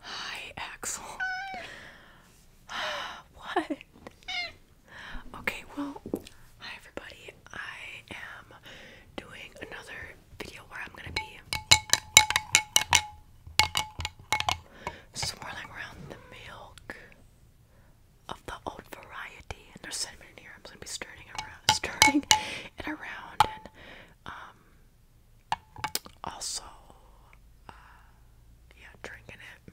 Hi, Axel. what? Okay, well, hi everybody. I am doing another video where I'm gonna be swirling around the milk of the old variety, and there's cinnamon here. I'm gonna be stirring around, stirring it around, um, also, uh, yeah, drinking it.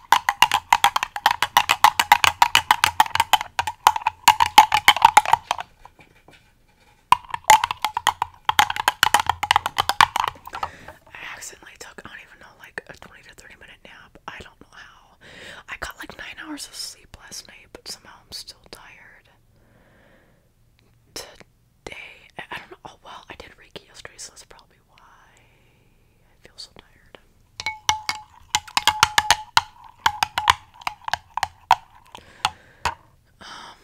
I accidentally took, I don't even know, like a 20 to 30 minute nap. I don't know how. I got like nine hours of sleep last night, but somehow I'm still tired. Today, I don't know. Oh, well, I did Reiki yesterday, so that's probably why I feel so tired. Um,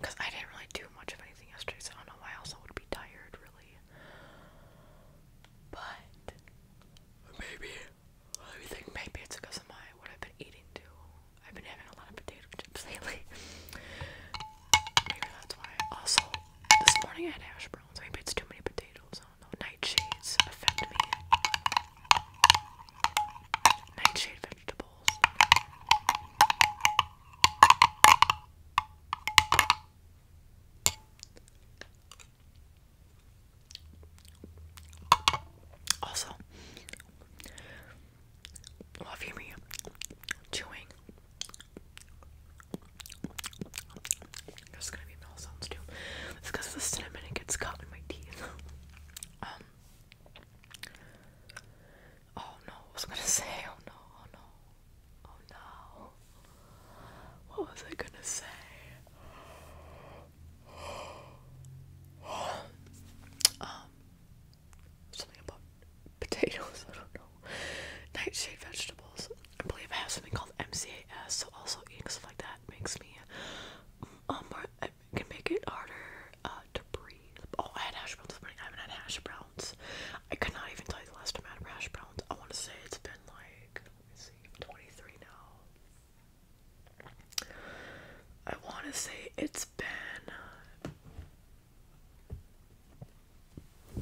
because uh, I didn't really do much of anything yesterday, so I don't know why else I would be tired, really. But maybe, I think maybe it's because of my what I've been eating too. I've been having a lot of potato chips lately. maybe that's why. Also, this morning I had hash browns. Maybe it's too many potatoes. I don't know. Nightshades affect me. Nightshade vegetables. Also, love me chewing there's gonna be bell sounds too. It's because the cinnamon gets caught in my teeth. um. Oh no, I was gonna say, oh no, oh no, oh no. What was I gonna say? Um, um, something about potatoes. I don't know. Nightshade vegetables. I believe I have something called MCAS, so also eating stuff like that makes me um, more, can make it harder uh, to breathe. Oh, I had hash browns this morning. I haven't had hash I could not even tell you the last time I had hash I want to say it's been like, let me see, 23 now. I want to say it's been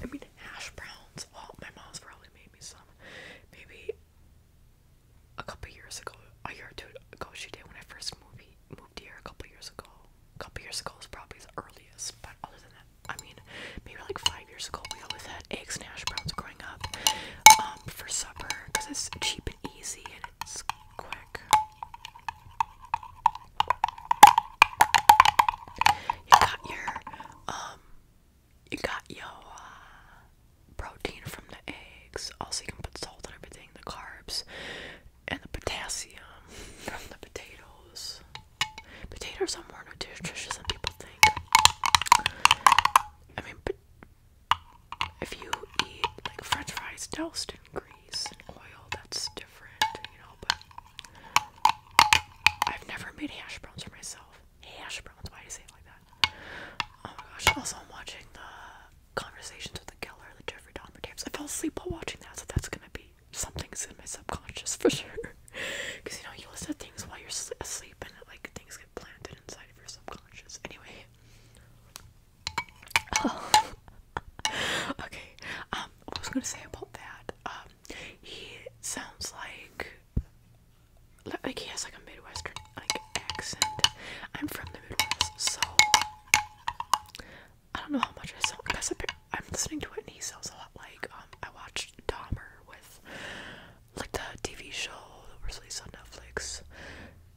I mean, hash browns. Well, my mom's probably made me some. Maybe a couple years ago, a year or two ago, she did when I first moved moved here. A couple years ago, a couple years ago is probably the earliest. But other than that, I mean, maybe like five years ago, we always had eggs and hash browns growing up um, for supper because it's cheap and easy and it's quick. You got your um you got your uh, protein from the eggs. Also you can put salt on everything, the carbs and the potassium from the potatoes. Potatoes are more nutritious than people think. I mean, but if you eat like French fries toast in grease and oil, that's different, you know. I've never made hash browns for myself. Hash browns, why do you say it like that? Oh my gosh, also I'm watching the Conversations with the Geller, the Jeffrey Dahmer tapes. I fell asleep while watching that, so that's gonna be something's in my subconscious for sure. Because you know, you listen to things while you're asleep and like things get planted inside of your subconscious. Anyway. Oh. okay, um, what was gonna say about that? Um, he sounds like like he has like a Midwestern like accent. I'm from the Midwest, so I don't know how much I sound. Because I'm listening to it, and he sounds a lot like um. I watched Dahmer with like the TV show that was released on Netflix,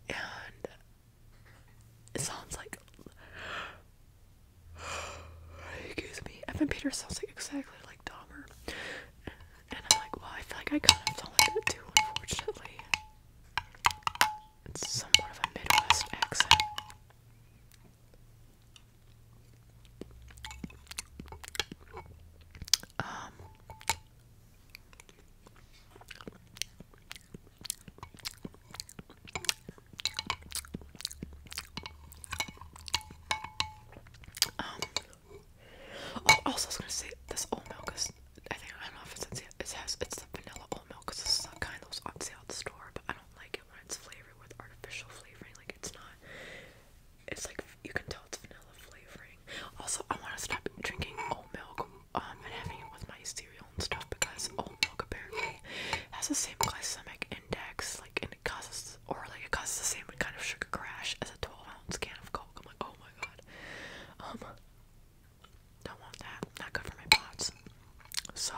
and it sounds like. Excuse me. Evan Peters sounds like exactly like Dahmer. And I'm like, well, I feel like I kind of sound like that too, unfortunately. It's somewhat of a Midwest accent. Um, um, oh, also I was gonna say this oat milk is I think I don't know if it's it has it's the vanilla oat milk because this is the kind that was on sale at the store, but I don't like it when it's flavored with artificial flavoring. Like it's not. It's like you can tell it's vanilla flavoring. Also, I want to stop drinking oat milk um, and having it with my cereal and stuff because oat oh, milk apparently has the same glycemic index, like, and it causes, or like, it causes the same kind of sugar crash as a 12 ounce can of Coke. I'm like, oh my god. Um, don't want that. Not good for my pots. So,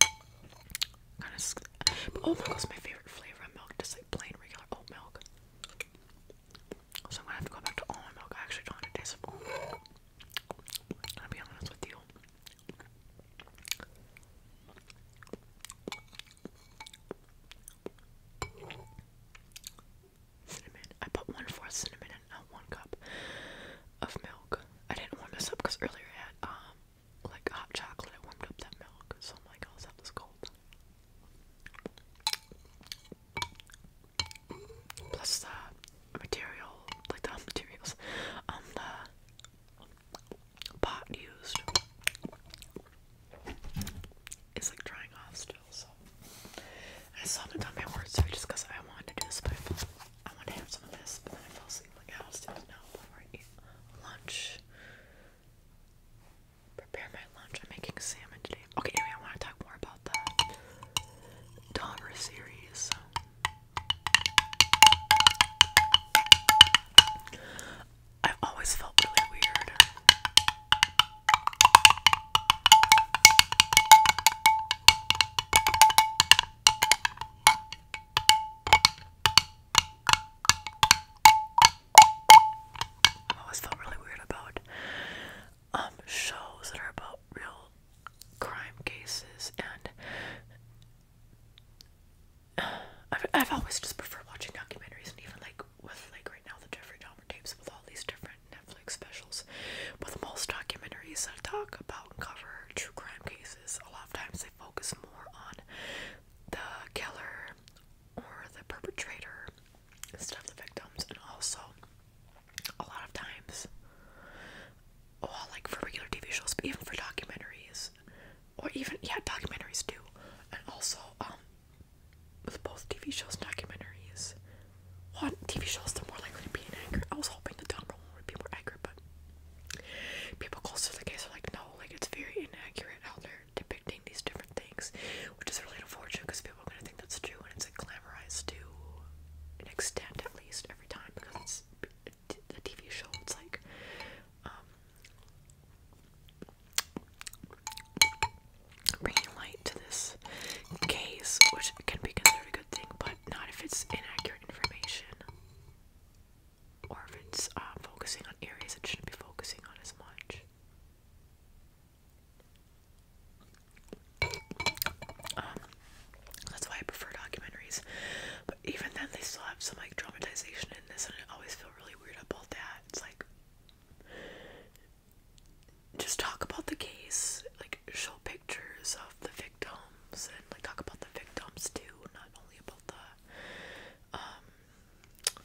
kind of. Oh, but oat milk is my favorite flavor of milk, just like plain regular oat milk. So I'm gonna have to go back to almond milk. I actually don't taste of i Cinnamon. I put one fourth cinnamon in uh, one cup of milk. I didn't warm this up because earlier I had um like hot chocolate. I warmed up that milk, so I'm like, oh, is that this cold? plus the material, like the materials, um, the pot used is like drying off still. So I still haven't done my word story just because I wanted to do this, but I, felt, I wanted to have some of this, but then I fell asleep. Like I was doing it now before I eat lunch. Prepare my lunch. I'm making salmon today. Okay, anyway, I want to talk more about that. Dahmer series. I've always felt really weird. I've always felt really weird about um shows that are about real crime cases and i I've always just preferred watching documentaries and even like with like right now the Jeffrey Dahmer tapes with all these different Netflix specials but most documentaries that talk about and cover true crime cases a lot of times they focus more on the killer or the perpetrator instead of the victims and also a lot of times. Well, like for regular TV shows, but even for documentaries, or even yeah, documentaries too, and also um, with both TV shows and documentaries. One TV shows they're more likely to be inaccurate. I was hoping the dumber one would be more accurate, but people close to the case are like, no, like it's very inaccurate out there depicting these different things, which is really unfortunate because people are gonna think that's true, and it's glamorized to an extent, at least every time, because it's a TV show. It's like, um, bringing light to this case, which can be considered a good thing, but not if it's inaccurate information or if it's uh, focusing on areas it shouldn't be focusing on as much. Um, that's why I prefer documentaries. But even then, they still have some like dramatization in this, and I always feel really weird about that. It's like, just talk about the case, like show pictures of the victims, and like talk about the victims too, not only about the um,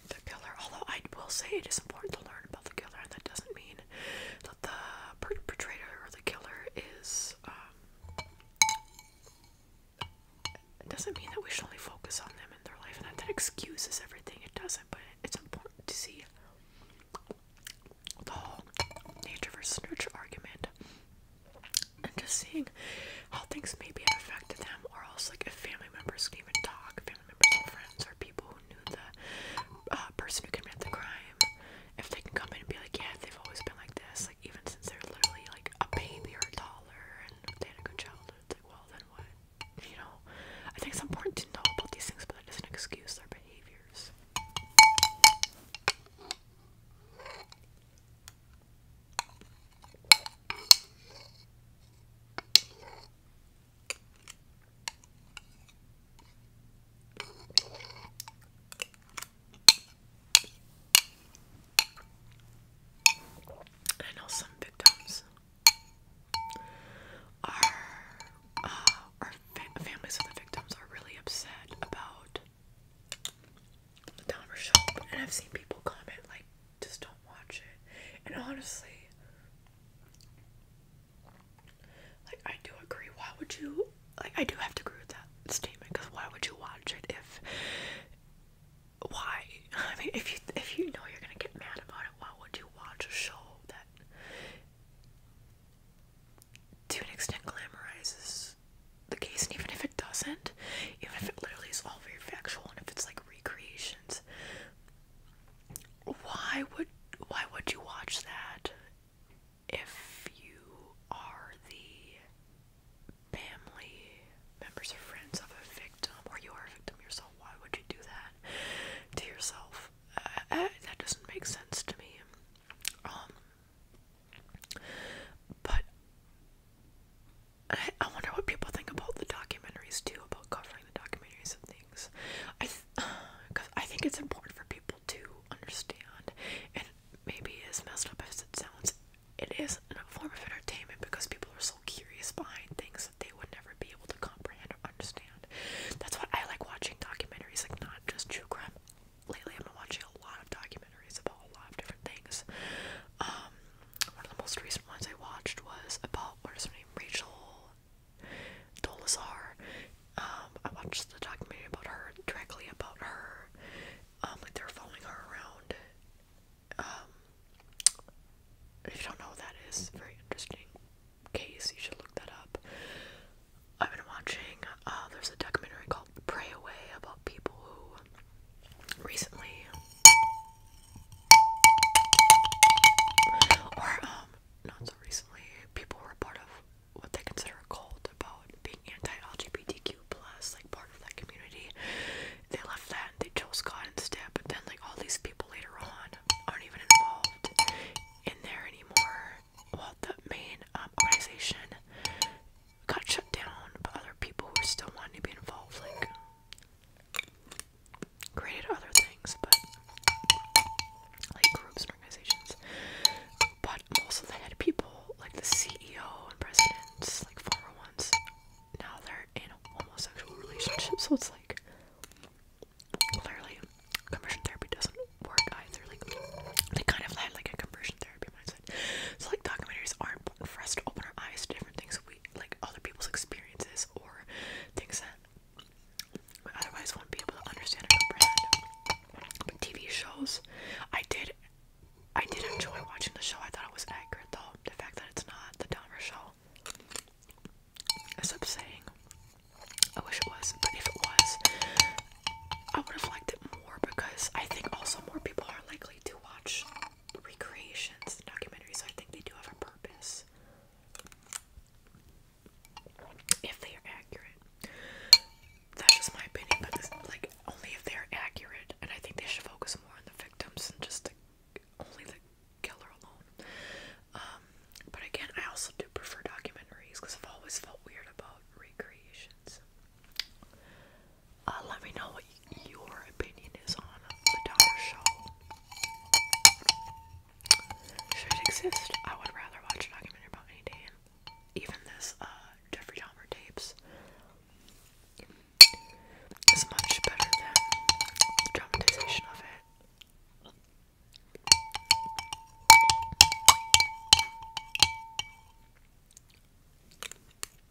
the killer. Although I will say it is important to learn about the killer, and that doesn't mean that the perpetrator or the killer is um, doesn't mean that we should only focus on them in their life and that, that excuses everything it doesn't but it's important to see the whole nature versus nurture argument and just seeing how things maybe have affected them or else like if family members can even talk can remember some friends or people who knew the uh, person who committed the crime, if they can come in and be like, yeah, they've always been like this, like even since they're literally like a baby or a toddler and they had a good childhood, it's like, well, then what? You know, I think it's important to know about these things, but that doesn't excuse their behaviors. I know some victims are, uh, our families of the victims are really upset about the Dahmer show, and I've seen people comment like, just don't watch it. And honestly, like, I do agree. Why would you? Like, I do have to agree with that statement because why would you watch it if? Why? I mean, if you if you know you're gonna get mad about it, why would you watch a show that, to an extent, glamorizes the case? And even if it doesn't, even if it literally is all very factual, and if it's like recreations, why would why would you watch that if you are the family members or friends of a victim or you are a victim yourself? Why would you do that to yourself? Uh, uh, that doesn't make sense to me. Um, but I, wonder what people think about the documentaries too, about covering the documentaries. of the. I, cause I think it's important for people to understand, and maybe as messed up as it sounds, it is a form of entertainment because people are so curious behind things that they would never be able to comprehend or understand. That's why I like watching documentaries, like not just true crime. Lately, I've been watching a lot of documentaries about a lot of different things. Um, one of the most recent ones I watched was about what is her name, Rachel Dolazar. Um, I watched the documentary about her, directly about her. Um, like they are following her around. Um, if you don't know what that is, very interesting case. You should look that up. I've been watching. Uh, there's a documentary called "Pray Away" about people who recently or, um, not so recently, people were part of what they consider a cult about being anti-LGBTQ+, like, part of that community. They left that and they chose God instead, but then, like, all these people later on aren't even involved in there anymore. Well, the main um, organization got shut down, but other people who are still wanting to be involved, like, great at other things, but like groups and organizations. But most of the head people, like the CEO and presidents, like former ones, now they're in homosexual relationships, so it's like clearly conversion therapy doesn't work either. Like they kind of had like a conversion therapy mindset. So like documentaries aren't for us to open our eyes to different things we like other people's experiences or things that we otherwise would not be able to understand or But TV shows, I did I did enjoy watching the show. I thought it was accurate though. The fact that it's not the Dahmer show I is saying, I wish it was, but if it was, I would have liked it more because I think also more people are likely to watch recreations, documentaries, I think they do have a purpose. If they are accurate. That's just my opinion, but this, like only if they're accurate, and I think they should focus more on the victims and just the, only the killer alone. Um, but again, I also do prefer documentaries because I've always felt weird about recreations. Uh, let me know what your opinion is on the Doctor Show. Should it exist? I would rather watch a documentary about any day, even this uh, Jeffrey Dahmer tapes. Is much better than the dramatization of it.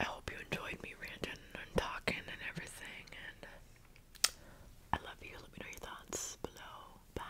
I hope you enjoyed me ranting and talking and everything. And I love you. Let me know your thoughts below. Bye.